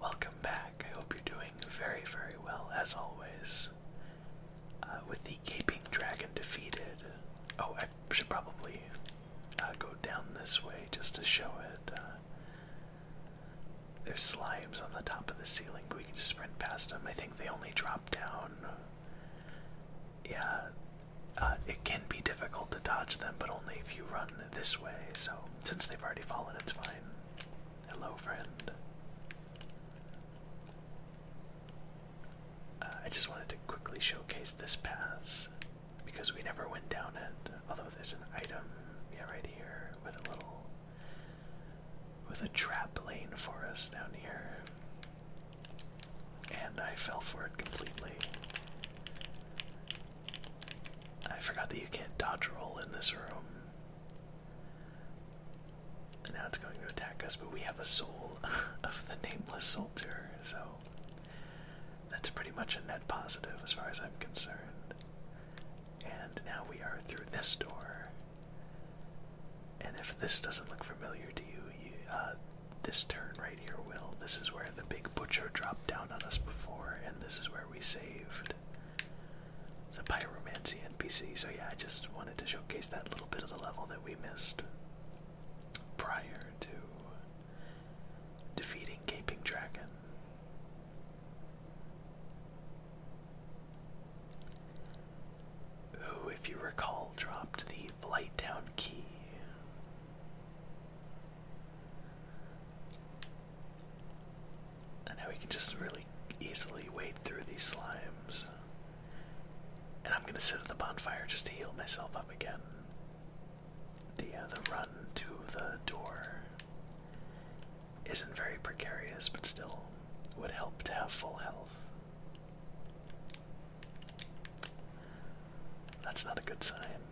Welcome back. I hope you're doing very, very well, as always. Uh, with the Gaping Dragon defeated. Oh, I should probably uh, go down this way just to show it. Uh, there's slimes on the top of the ceiling, but we can just sprint past them. I think they only drop down. Yeah, it can be difficult to dodge them, but only if you run this way, so since they've already fallen, it's fine. Hello, friend. Uh, I just wanted to quickly showcase this path because we never went down it. Although there's an item, yeah, right here with a little, with a trap lane for us down here, and I fell for it completely. I forgot that you can't dodge roll in this room. And now it's going to attack us, but we have a soul of the nameless soldier, so that's pretty much a net positive as far as I'm concerned. And now we are through this door. And if this doesn't look familiar to you, uh, this turn right here will. This is where the big butcher dropped down on us before, and this is where we saved the pyromancy NPC. So yeah, I just wanted to showcase that little bit of the level that we missed prior to defeating Gaping Dragon. Who, if you recall, dropped the Flight Town key. And now we can just really easily wade through these slimes. And I'm gonna sit at the bonfire just to heal myself up again. The uh, the run to the door isn't very precarious, but still would help to have full health. That's not a good sign.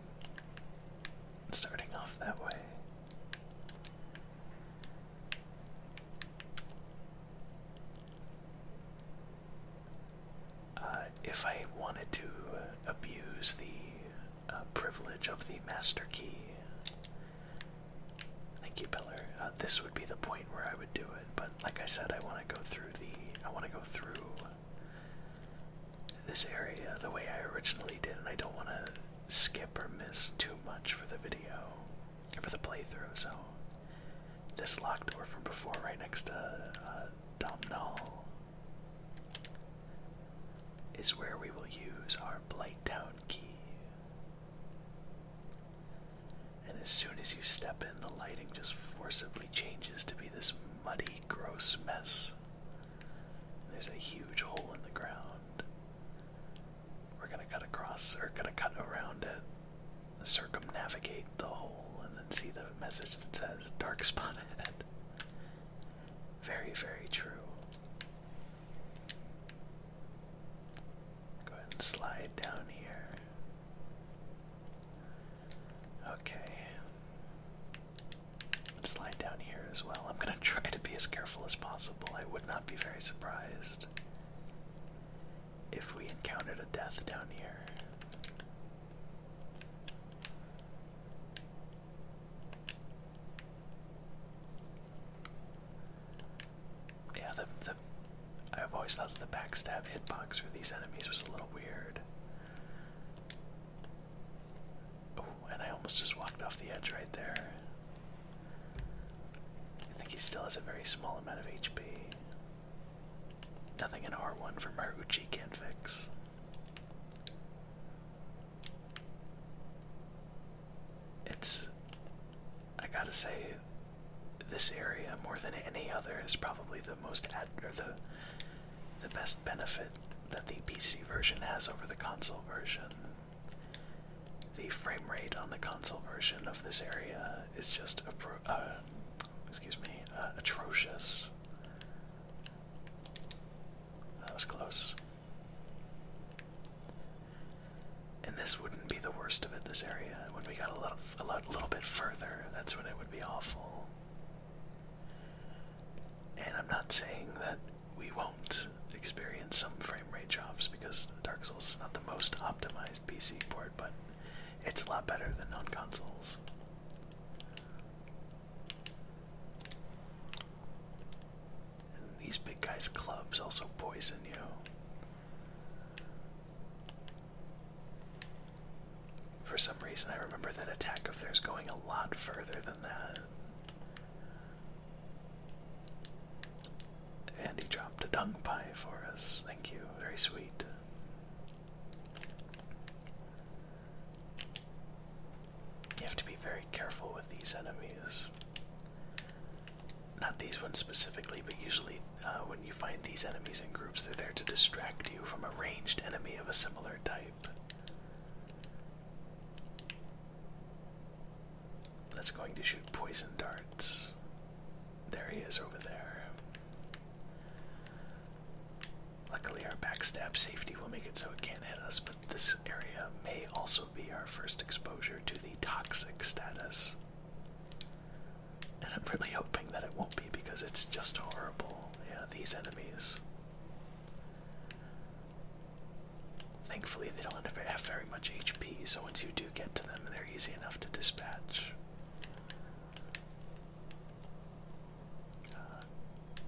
Starting off that way. Uh, if I wanted to abuse the uh, privilege of the master key, thank you, Peller. Uh, this would be the point where I would do it. But like I said, I want to go through the. I want to go through this area the way I originally did, and I don't want to skip or miss too much for the video, or for the playthrough, so this locked door from before right next to uh, Domnall is where we will use our Blighttown key. And as soon as you step in, the lighting just forcibly changes to be this muddy, gross mess. There's a huge hole in the ground. We're gonna cut across, or gonna cut around it, circumnavigate the hole, and then see the message that says dark spot ahead. Very, very true. Go ahead and slide down here. Okay. Slide down here as well. I'm gonna try to be as careful as possible. I would not be very surprised if we encountered a death down here. Yeah, the, the I've always thought that the backstab hitbox for these enemies was a little weird. Oh, and I almost just walked off the edge right there. I think he still has a very small amount of HP. Nothing in R1 from my Uchi can fix. It's. I gotta say, this area more than any other is probably the most ad or the the best benefit that the PC version has over the console version. The frame rate on the console version of this area is just uh, excuse me, uh, atrocious. That was close. And this wouldn't be the worst of it. This area, when we got a lot, a little bit further, that's when it would be awful. And I'm not saying that we won't experience some frame rate drops because Dark Souls is not the most optimized PC port, but it's a lot better than non consoles. these big guys' clubs also poison you. For some reason, I remember that attack of theirs going a lot further than that. Andy dropped a dung pie for us. Thank you. Very sweet. You have to be very careful with these enemies. Not these ones specifically, but usually uh, when you find these enemies in groups, they're there to distract you from a ranged enemy of a similar type. That's going to shoot poison darts. There he is over there. Luckily, our backstab safety will make it so it can't hit us, but this area may also be our first exposure to the toxic status. And I'm really hoping that it won't be because it's just horrible. Yeah, these enemies. Thankfully, they don't have very much HP, so once you do get to them, they're easy enough to dispatch. Uh,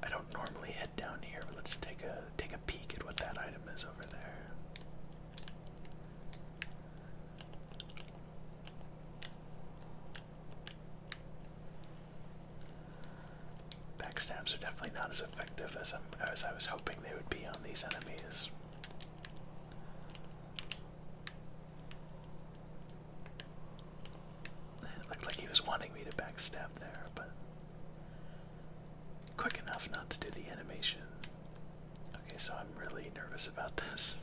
I don't normally head down here, but let's take a take a peek at what that item is over there. Backstabs are definitely not as effective as, i was hoping they would be on these enemies. It looked like he was wanting me to backstab there, but quick enough not to do the animation. Okay, so I'm really nervous about this.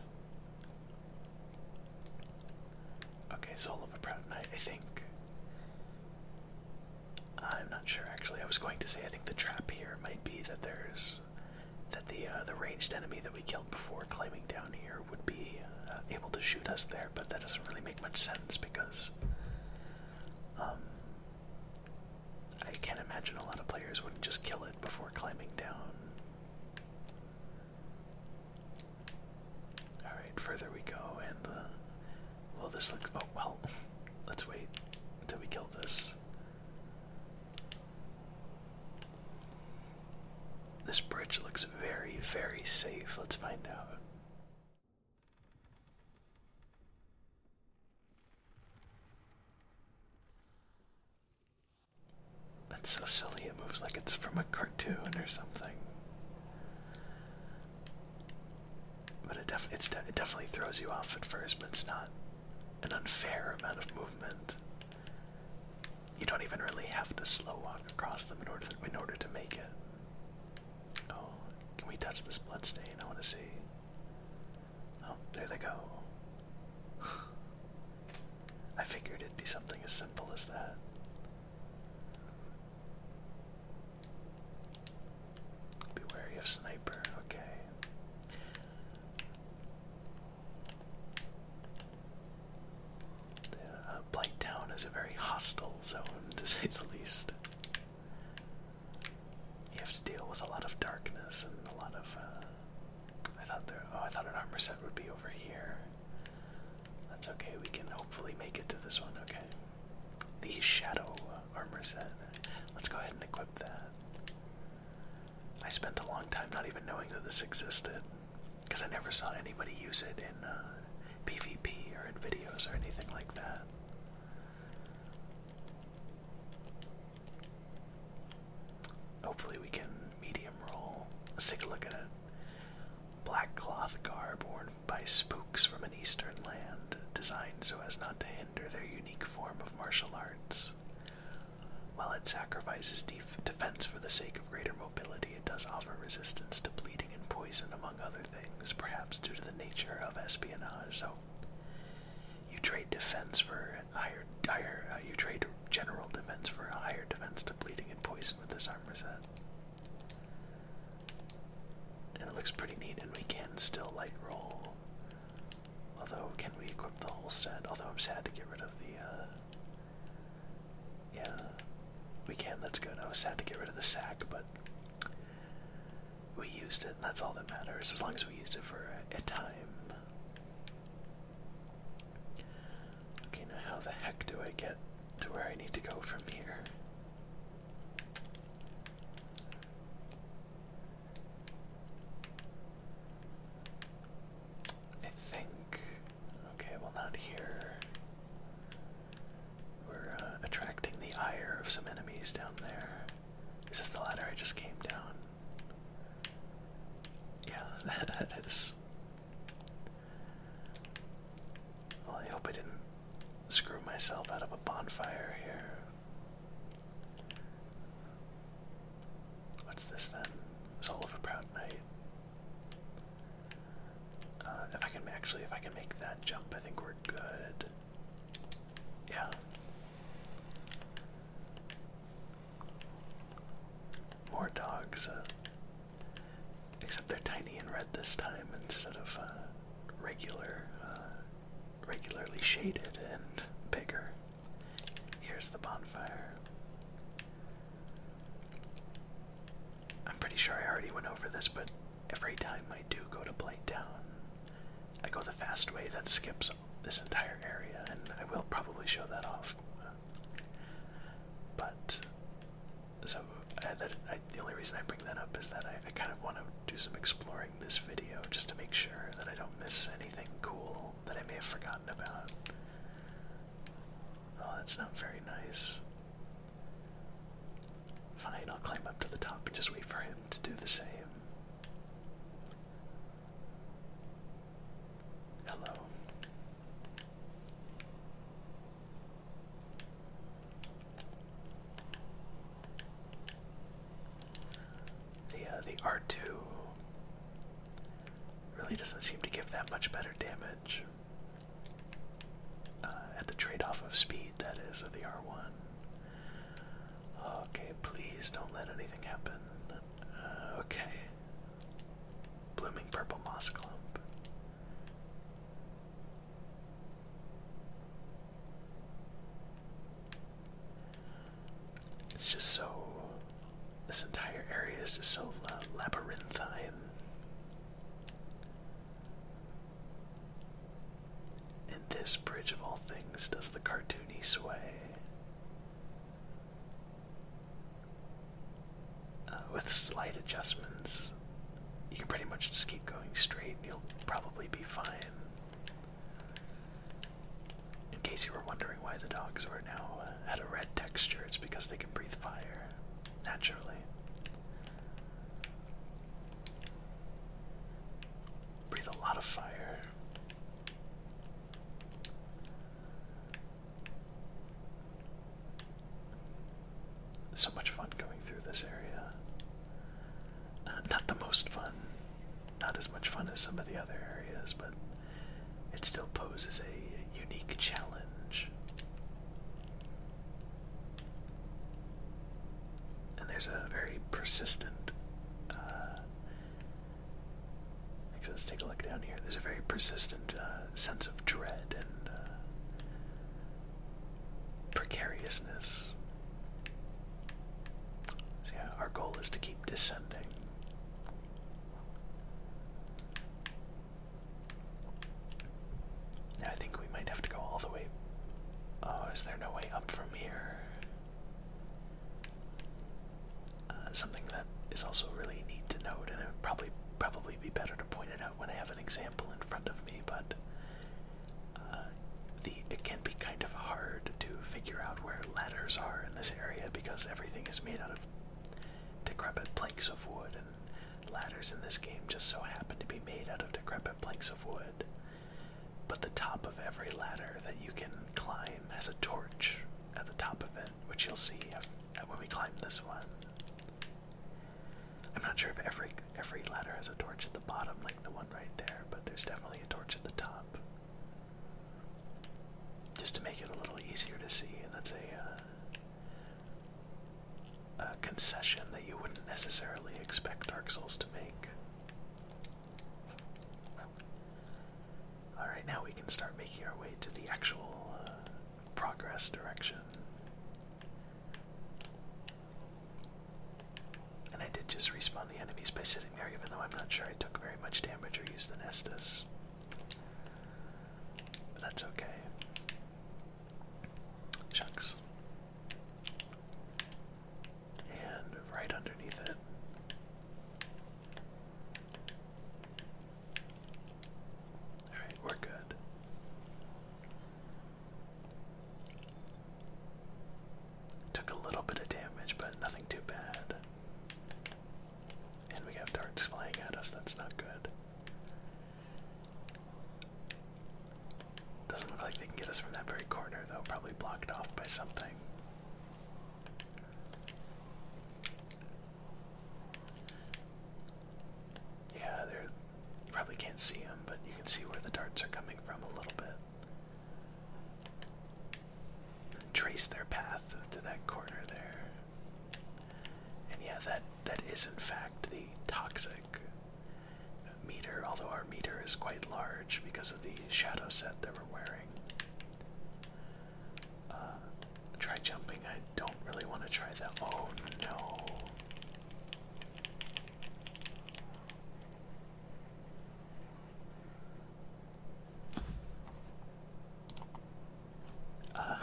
Okay, Soul of a Proud Knight, I think. I'm not sure actually. I was going to say I think the trap here might be that there's that the uh, the ranged enemy that we killed before climbing down here would be uh, able to shoot us there, but that doesn't really make much sense because um, I can't imagine a lot of players wouldn't just kill it before climbing down. Alright, further we go, and Well, this looks. Oh, well. Let's wait until we kill this. This bridge looks very, very safe. Let's find out. It's so silly, it moves like it's from a cartoon or something. But it, def it definitely throws you off at first, but it's not an unfair amount of movement. You don't even really have to slow walk across them in order to, in order to make it. Oh, can we touch this blood stain? I want to see. Oh, there they go. I figured it'd be something as simple as that. Be wary of sniper, okay. The, uh, Blight Town is a very hostile zone, to say the least. You have to deal with a lot of darkness and a lot of. Uh, I thought there. Oh, I thought an armor set would be over here. That's okay, we can hopefully make it to this one, okay? The Shadow Armor set. Let's go ahead and equip that. I spent a long time not even knowing that this existed, because I never saw anybody use it in PvP uh, or in videos or anything like that. Hopefully, we can medium roll. Let's take a look at it. Black cloth garb worn by spooks from an eastern land, designed so as not to hinder their unique form of martial arts. While it sacrifices defense for the sake of greater mobility, it does offer resistance to bleeding and poison, among other things, perhaps due to the nature of espionage. So, you trade defense for higher, higher uh, you trade general defense for a higher defense to bleeding and poison with this armor set. And it looks pretty neat, and we can still light roll. Although, can we equip the whole set? Although I'm sad to get rid of the, uh... Yeah, we can, that's good. I was sad to get rid of the sack, but we used it, and that's all that matters, as long as we used it for a time. Okay, now how the heck do I get to where I need to go from here? I think. Okay, well, not here. We're uh, attracting the ire of some enemies down there. Is this the ladder I just came down? Yeah, that is. Well, I hope I didn't screw myself out of a bonfire here. What's this then? Soul of a Proud Knight. Uh, if I can actually, if I can make that jump, I think we're good. Yeah. More dogs. Uh, Except they're tiny and red this time instead of uh, regular, uh, regularly shaded and bigger. Here's the bonfire. I'm pretty sure I already went over this, but every time I do go to Blight Town, I go the fast way that skips this entire area, and I will probably show that off but so uh, that, the only reason I bring that up is that I, I kind of want to do some exploring this video just to make sure that I don't miss anything cool that I may have forgotten about. Oh, that's not very nice. Fine, I'll climb up to the top and just wait for him to do the same. Hello. The uh, the R2 really doesn't seem to give that much better damage uh, at the trade-off of speed that is of the R1. Okay, please don't let anything happen. Uh, okay, blooming purple moss clump. It's just so. This entire area is just so labyrinthine. And this bridge of all things does the cartoony sway. Uh, with slight adjustments, you can pretty much just keep going straight and you'll probably be fine. In case you were wondering why the dogs are now uh, had a red texture, it's because they can breathe fire naturally. Breathe a lot of fire. So much fun going through this area. Uh, not the most fun, not as much fun as some of the other areas, but it still poses a unique challenge. And there's a very persistent uh, Actually, let's take a look down here. There's a very persistent uh, sense of dread and uh, precariousness. So, yeah, our goal is to keep descending. I think we might have to go all the way. Oh, is there no way up from here? Uh, something that is also really neat to note, and it would probably probably be better to point it out when I have an example in front of me. But uh, the it can be kind of hard to figure out where ladders are in this area because everything is made out of decrepit planks of wood, and ladders in this game just so happen to be made out of decrepit planks of wood. But the top of every ladder that you can climb has a torch at the top of it which you'll see uh, when we climb this one. I'm not sure if every every ladder has a torch at the bottom, like the one right there, but there's definitely a torch at the top, just to make it a little easier to see. And that's a uh, concession that you wouldn't necessarily expect Dark Souls to make. Alright, now we can start making our way to the actual uh, progress direction. And I did just respawn the enemies by sitting there, even though I'm not sure I took very much damage or used the nestas. But that's okay. Shucks. And right underneath it Alright, we're good. Took a little bit of damage, but nothing too bad. And we have darts flying at us, that's not good. Doesn't look like they can get us from that very corner, though, probably blocked off by something. Yeah, they you probably can't see them, but you can see where the darts are coming from a little bit. Trace their path to that corner there. And yeah, that that is in fact the toxic meter, although our meter is quite large because of the shadow set that we're wearing. Uh, try jumping. I don't really want to try that. Oh no. Uh,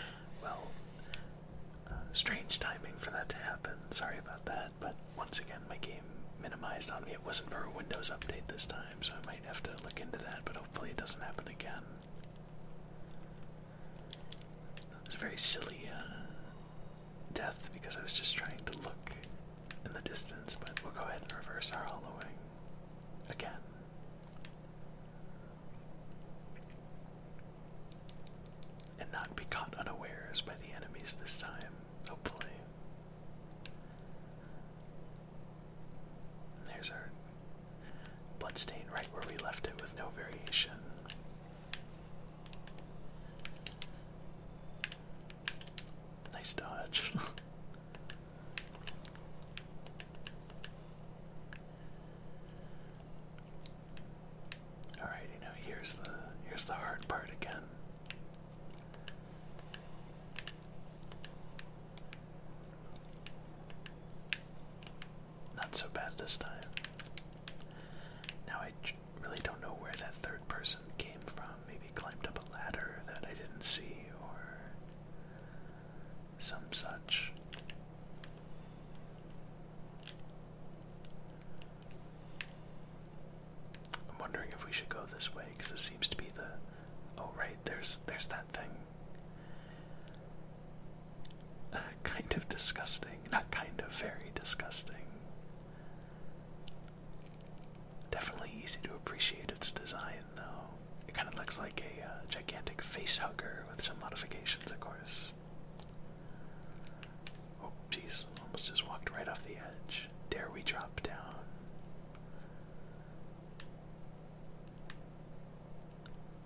well, uh, strange timing for that to happen. Sorry about that, but once again, my game minimized on me. It wasn't for a Windows update this time, so I might have to look into that, but hopefully it doesn't happen again. It was a very silly uh, death because I was just trying to look in the distance, but we'll go ahead and reverse our hollowing again. And not be caught unawares by the enemies this time, hopefully. There's our blood stain right where we left it with no variation. Nice dodge. Alright, you here's the here's the hard part again. Not so bad this time. Now I really don't know where that third person came from. Maybe climbed up a ladder that I didn't see or some such. I'm wondering if we should go this way because this seems to be the Oh right, there's there's that thing. Uh, kind of disgusting. Not kind of, very disgusting. Definitely easy to appreciate its design, though. It kind of looks like a uh, gigantic face hugger with some modifications, of course. Oh, jeez, almost just walked right off the edge. Dare we drop down?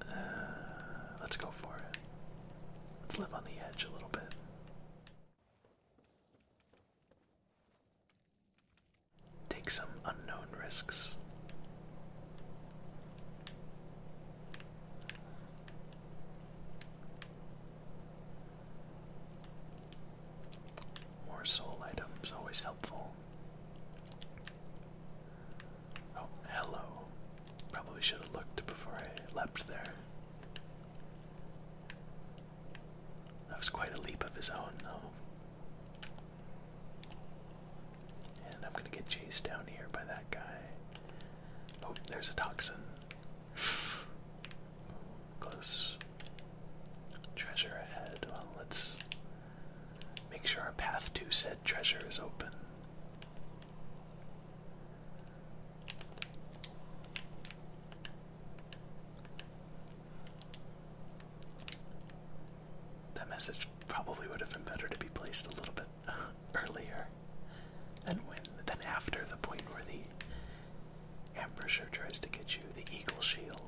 Uh, let's go for it. Let's live on the edge a little bit. Take some unknown risks. More soul items, always helpful. Oh, hello. Probably should have looked before I leapt there. That was quite a leap of his own, though. And I'm gonna get chased down here by that guy. Oh, there's a toxin. Close. Treasure ahead. Well, let's make sure our path to said treasure is open. That message probably would have been better to be placed a little bit earlier than when than after the point where the ambusher tries to get you the eagle shield.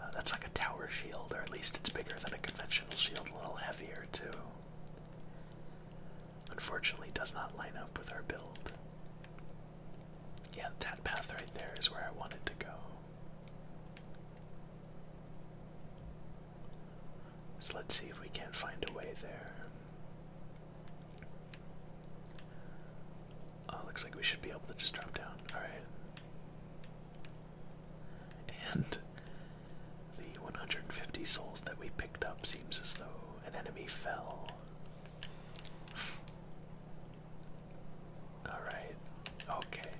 Uh, that's like a tower shield, or at least it's bigger than a conventional shield, a little heavier too. Unfortunately, does not line up with our build. Yeah, that path right there is where I wanted to go. So let's see if we can't find a way there. Oh, looks like we should be able to just drop down. All right. And the 150 souls that we picked up seems as though an enemy fell. All right. Okay.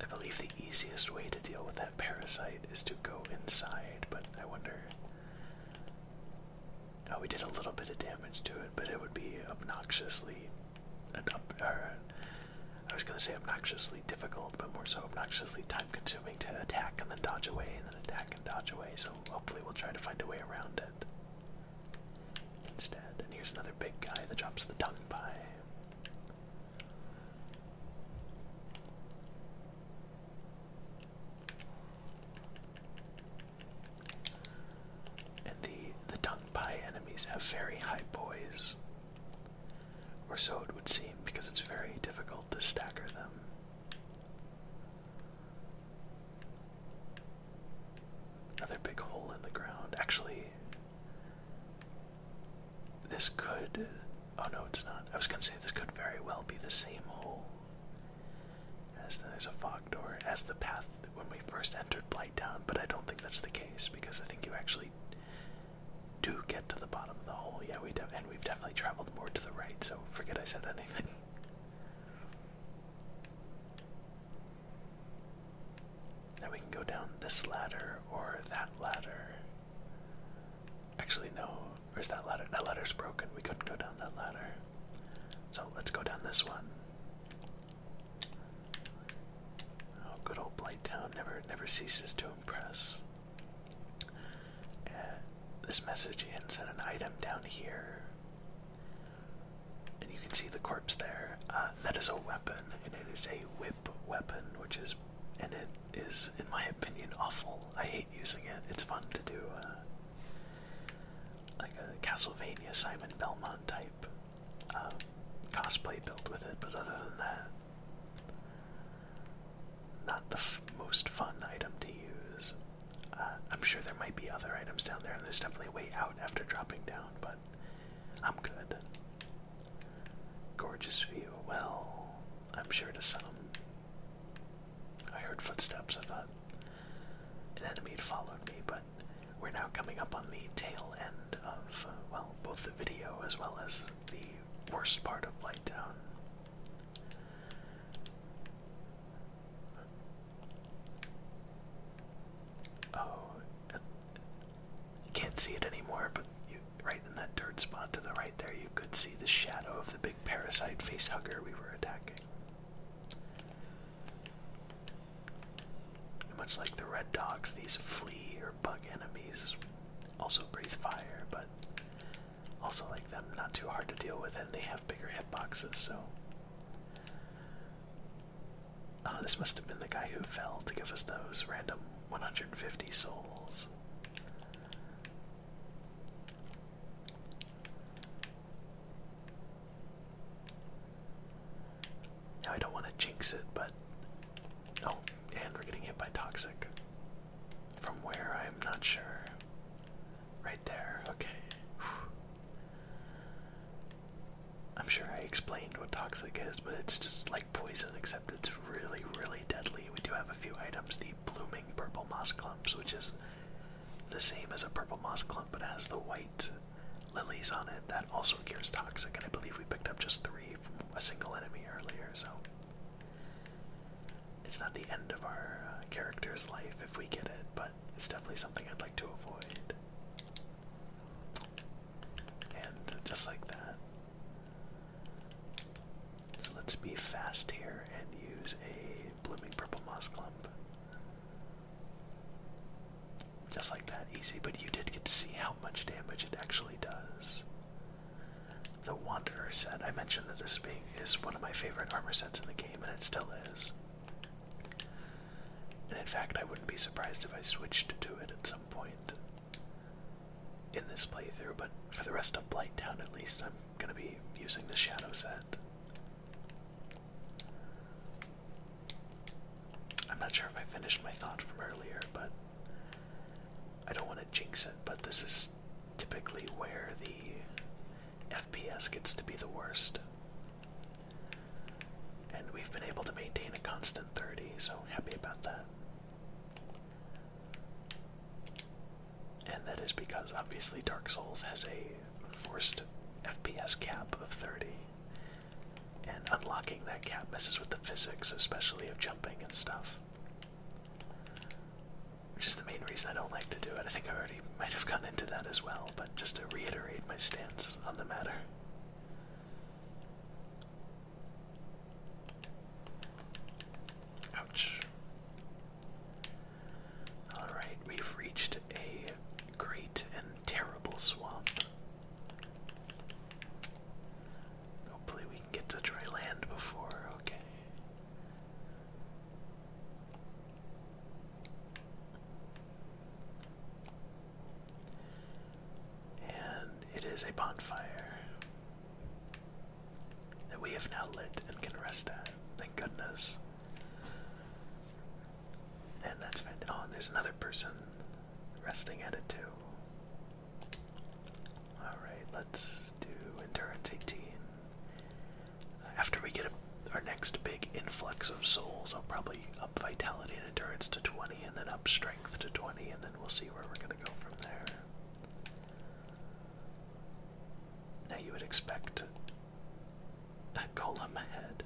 I believe the easiest way to deal with that parasite is to go inside, but I wonder Oh, we did a little bit of damage to it, but it would be obnoxiously. I was going to say obnoxiously difficult, but more so obnoxiously time consuming to attack and then dodge away and then attack and dodge away, so hopefully we'll try to find a way around it instead. And here's another big guy that drops the tongue pie. And the the tongue pie enemies have very high poise. Or so it would seem, because it's very difficult to stagger them. Another big hole in the ground. Actually, this could. Oh no, it's not. I was gonna say this could very well be the same hole. As there's a fog door as the path when we first entered blight down, but I don't think that's the case because I think you actually do get to the bottom of the hole. Yeah, we do, and we've definitely traveled more to the right, so forget I said anything. Now we can go down this ladder or that ladder. Actually, no, Where's that ladder? That ladder's broken. We couldn't go down that ladder. So let's go down this one. Oh, good old Blight Town never never ceases to impress. Uh, this message hints at an item down here. And you can see the corpse there. Uh, that is a weapon, and it is a whip weapon, which is, and it is, in my opinion, awful. I hate using it. It's fun to do uh, like a Castlevania Simon Belmont type uh, cosplay built with it, but other than that, not the most fun item to use. Uh, I'm sure there might be other items down there, and there's definitely way out after dropping down, but I'm good. Gorgeous view. Well, I'm sure to some. I heard footsteps. I thought an enemy had followed me, but we're now coming up on the tail end of, uh, well, both the video as well as the worst part of Lighttown. Oh, you can't see it anymore, but you, right in that dirt spot to the right there, could see the shadow of the big parasite face hugger we were attacking. much like the red dogs, these flea or bug enemies also breathe fire, but also like them, not too hard to deal with, and they have bigger hit boxes. so. Oh, this must have been the guy who fell to give us those random 150 souls. Now I don't want to jinx it, but oh, and we're getting hit by toxic. From where I'm not sure. Right there, okay. I'm sure I explained what toxic is, but it's just like poison, except it's really, really deadly. We do have a few items blooming purple moss clumps, which is the same as a purple moss clump but has the white lilies on it. That also cures toxic, and I believe we picked up just three from a single enemy earlier, so it's not the end of our uh, character's life if we get it, but it's definitely something I'd like to avoid. And just like that. So let's be fast here and use a blooming purple moss clump. Just like that, easy, but you did get to see how much damage it actually does. The Wanderer set, I mentioned that this is one of my favorite armor sets in the game, and it still is. And in fact, I wouldn't be surprised if I switched to it at some point in this playthrough, but for the rest of Blighttown at least, I'm gonna be using the shadow set. I'm not sure if I finished my thought from earlier, but I don't want to jinx it, but this is typically where the FPS gets to be the worst. And we've been able to maintain a constant 30, so happy about that and that is because obviously Dark Souls has a forced FPS cap of 30, and unlocking that cap messes with the physics, especially of jumping and stuff. Which is the main reason I don't like to do it. I think I already might have gotten into that as well, but just to reiterate my stance on the matter. Ouch. Alright, we've reached a great and terrible swamp. Hopefully, we can get to dry land before, okay. And it is a bonfire that we have now lit and can rest at. Thank goodness. And that's fantastic. on. Oh, and there's another person resting at it too. Alright, let's do Endurance 18. After we get our next big influx of souls, I'll probably up Vitality and Endurance to 20, and then up Strength to 20, and then we'll see where we're going to go from there. Now you would expect a golem head.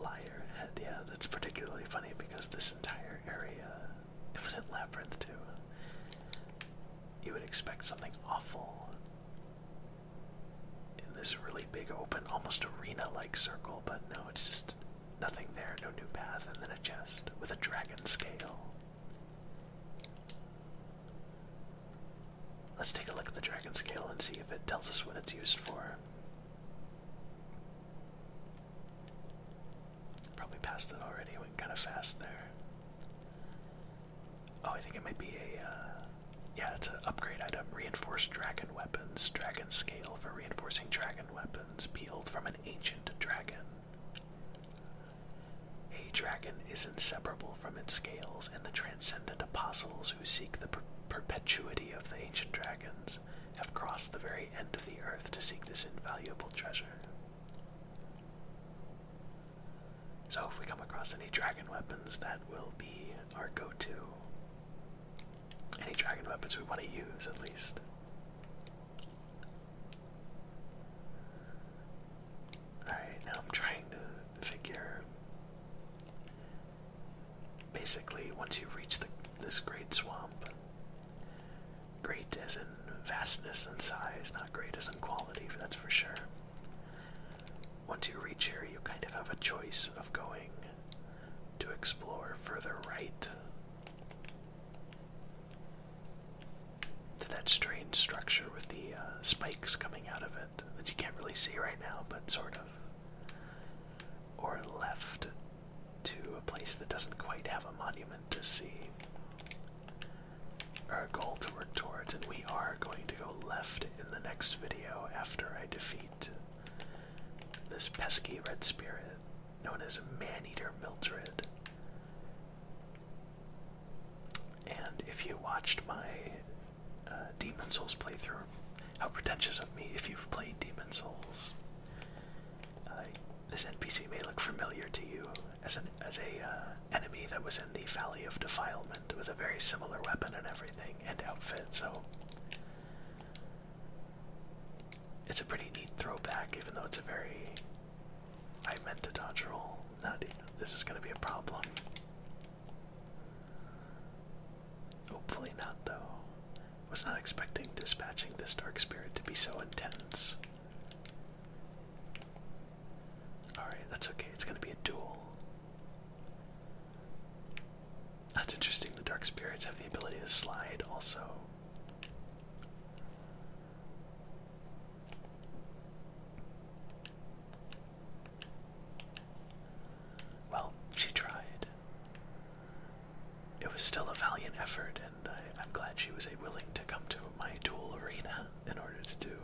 Liar head, yeah, that's particularly funny because this entire area, Infinite Labyrinth too, you would expect something awful in this really big open, almost arena-like circle, but no, it's just nothing there, no new path, and then a chest with a dragon scale. Let's take a look at the dragon scale and see if it tells us what it's used for. Probably passed it already, went kind of fast there. Oh, I think it might be a, uh, yeah, it's an upgrade item. Reinforced dragon weapons, dragon scale for reinforcing dragon weapons, peeled from an ancient dragon. A dragon is inseparable from its scales, and the transcendent apostles who seek the perpetuity of the ancient dragons have crossed the very end of the earth to seek this invaluable treasure. So, if we come across any dragon weapons, that will be our go to. Any dragon weapons we want to use, at least. Alright, now I'm trying to figure. Basically, once you reach the, this great swamp, great as in vastness and size, not great as in quality, that's for sure. Once you reach here, you kind of have a choice of going to explore further right to that strange structure with the uh, spikes coming out of it that you can't really see right now, but sort of. Or left to a place that doesn't quite have a monument to see, Our goal to work towards, and we are going to go left in the next video after I defeat this pesky red spirit known as Man-eater Mildred. And if you watched my uh, Demon Souls playthrough, how pretentious of me if you've played Demon Souls. Uh, this NPC may look familiar to you as an as a uh, enemy that was in the Valley of Defilement with a very similar weapon and everything and outfit. So it's a pretty neat throwback, even though it's a very. I meant to dodge roll. Not this is going to be a problem. Hopefully not, though. Was not expecting dispatching this dark spirit to be so intense. Alright, that's okay. It's going to be a duel. That's interesting. The dark spirits have the ability to slide also. Well, she tried. It was still a valiant effort, and I, I'm glad she was willing to come to my dual arena in order to do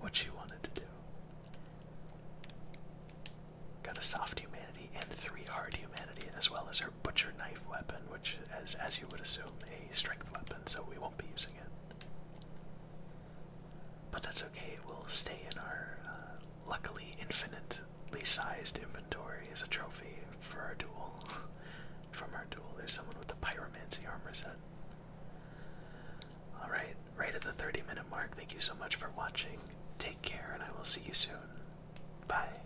what she wanted to do. Got a soft humanity and three hard humanity, as well as her your butcher knife weapon, which is, as you would assume, a strength weapon, so we won't be using it. But that's okay, it will stay in our uh, luckily infinitely sized inventory as a trophy for our duel. From our duel, there's someone with the pyromancy armor set. Alright, right at the 30 minute mark, thank you so much for watching. Take care, and I will see you soon. Bye.